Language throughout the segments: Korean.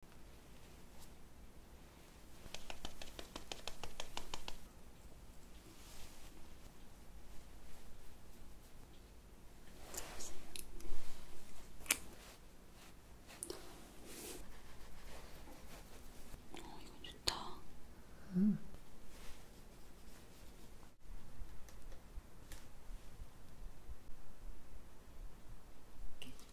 어, 이건 좋다. 음. 이렇게.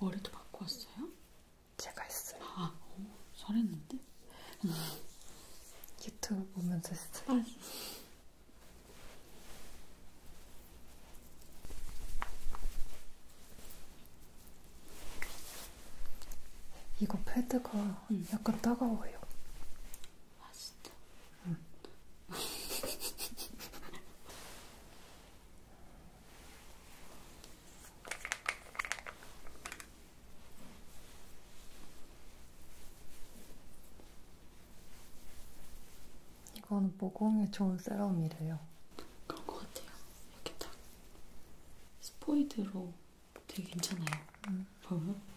머리도 바꿔왔어요? 제가 했어요. 아, 오, 잘했는데? 음. 유튜브 보면서 스트레스 아. 이거 패드가 응. 약간 따가워요. 아 진짜? 응. 이건 모공에 좋은 세럼이래요. 그런 것 같아요. 이렇게 딱 스포이드로 되게 괜찮아요. 음. 보면?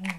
네.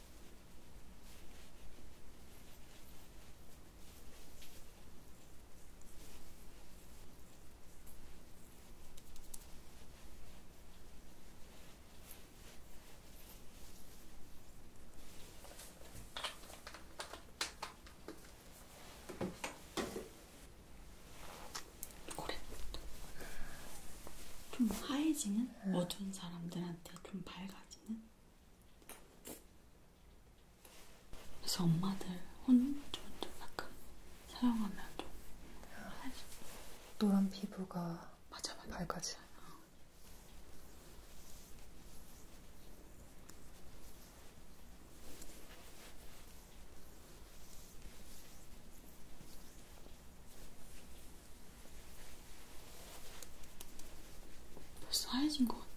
좀 하얘지는? 음. 어두운 사람들한테 좀 밝아지는? 그래서 엄마들 혼, 좀, 좀 약간 사용하면 좀 밝아지고. 노란 피부가 맞아, 맞아. 밝아지. 어. 벌써 하얘진 것 같아.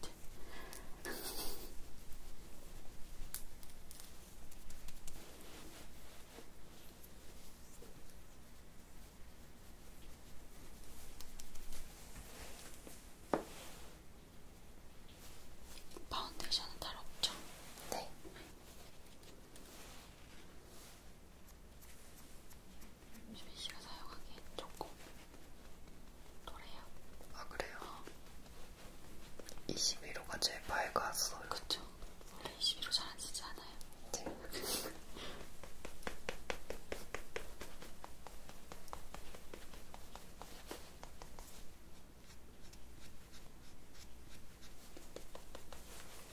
파운데이션은 잘 없죠? 네. 유빈 씨가 사용하기엔 조금 도래요. 아 그래요? 어. 21호가 제일 밝았어요. 그쵸. 원래 21호 잘 안 쓰지 않아요? 네.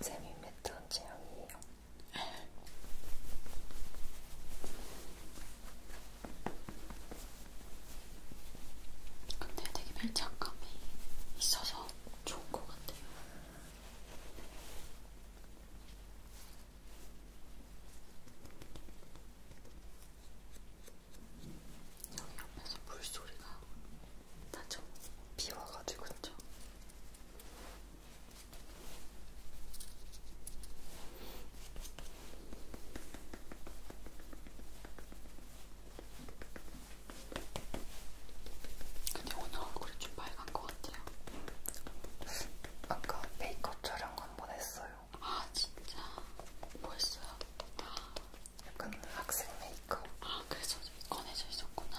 재미있던 체험이에요. 근데 되게 밀착감이 있어서 좋은 것 같아요. 여기 옆에서 물소리가 나죠? 비 와가지고 그죠? 근데 오늘 얼굴이 좀 빨간 것 같아요. 아까 메이크업 촬영 한번 했어요. 아 진짜? 뭐 했어요? 아, 약간 학생 메이크업. 아, 그래서 꺼내져 있었구나.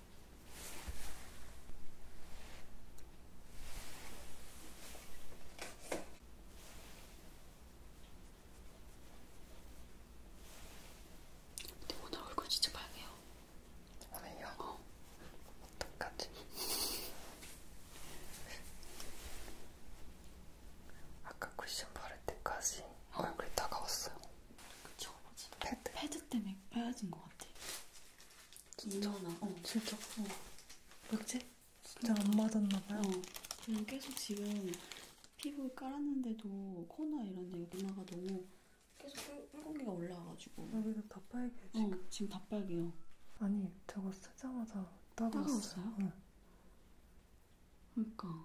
근데 오늘 얼굴 진짜 빨개요. 오늘요? 어. 똑같이. 아까 쿠션 바를 때까지 얼굴이 어. 다가왔어요. 그쵸? 맞아. 패드. 패드 때문에 빼앗은 것 같아. 긴전아. 어, 진짜. 어. 뭐지? 진짜 안 맞았나봐요. 어. 그리고 계속 지금 피부 깔았는데도 코나 이런 데 누나가 너무 계속 붉은기가 올라와가지고. 여기가 다 빨개. 어, 지금. 어, 지금 다 빨개요. 아니, 저거 쓰자마자 따가웠어요. 따가웠어요? 응. 그러니까.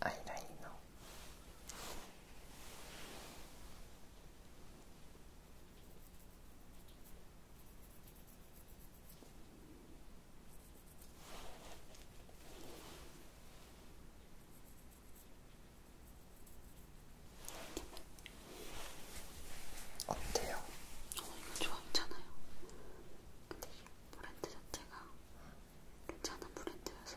アイラインの 어때요? 어, 이거 좋아했잖아요. 근데 이 브랜드 자체가 괜찮은 브랜드여서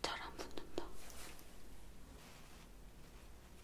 잘안 붙는다.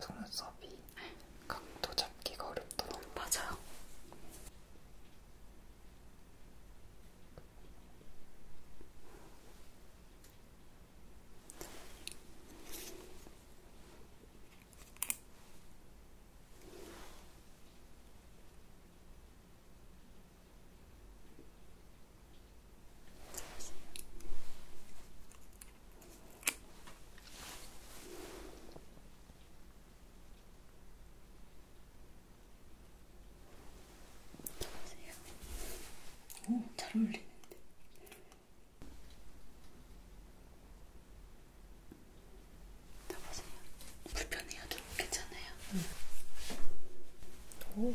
속눈썹이 각도 잡기가 어렵더라고요. 맞아요. 오, 잘 어울리는데. 다 보세요. 불편해요. 괜찮아요. 응. 음. 오.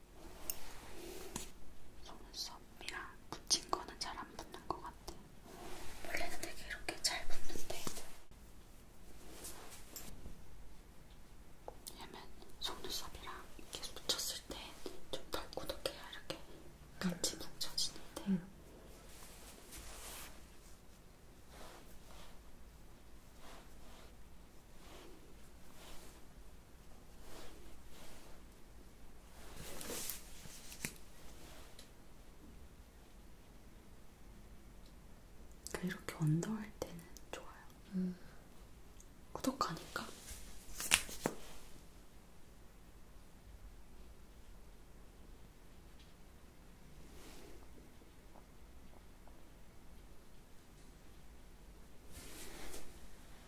속눈썹이랑 붙인 거는 잘 안 붙는 것 같아. 원래는 되게 이렇게 잘 붙는데. 왜냐면 속눈썹이랑 이렇게 붙였을 때좀덜 꾸덕해야 이렇게 같이 뭉쳐지는데. 응. 그러니까 이렇게 운동할 때는 좋아요. 음. 구독하니까.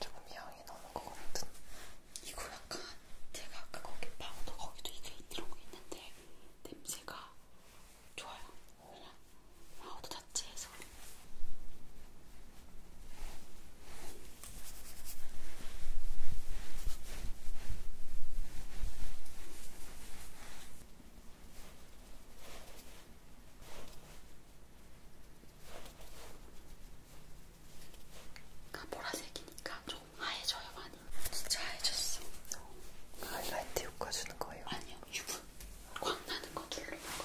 조미향이 나는 것 같은. 이거 약간 제가 아까 거기 파우더 거기도 이게 들어오고 있는데 냄새가 좋아요. 그냥 파우더 자체에서. 그 보라색이니까 좀 하얘져요 많이. 진짜 하얘졌어. 하이라이트 효과 주는 거예요? 아니요, 유분. 광 나는 거 누르는 거.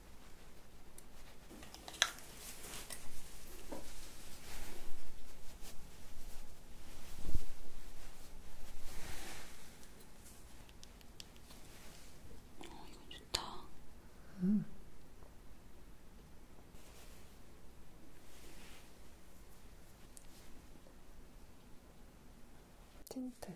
어, 음. 이거 좋다. 음. 틴트.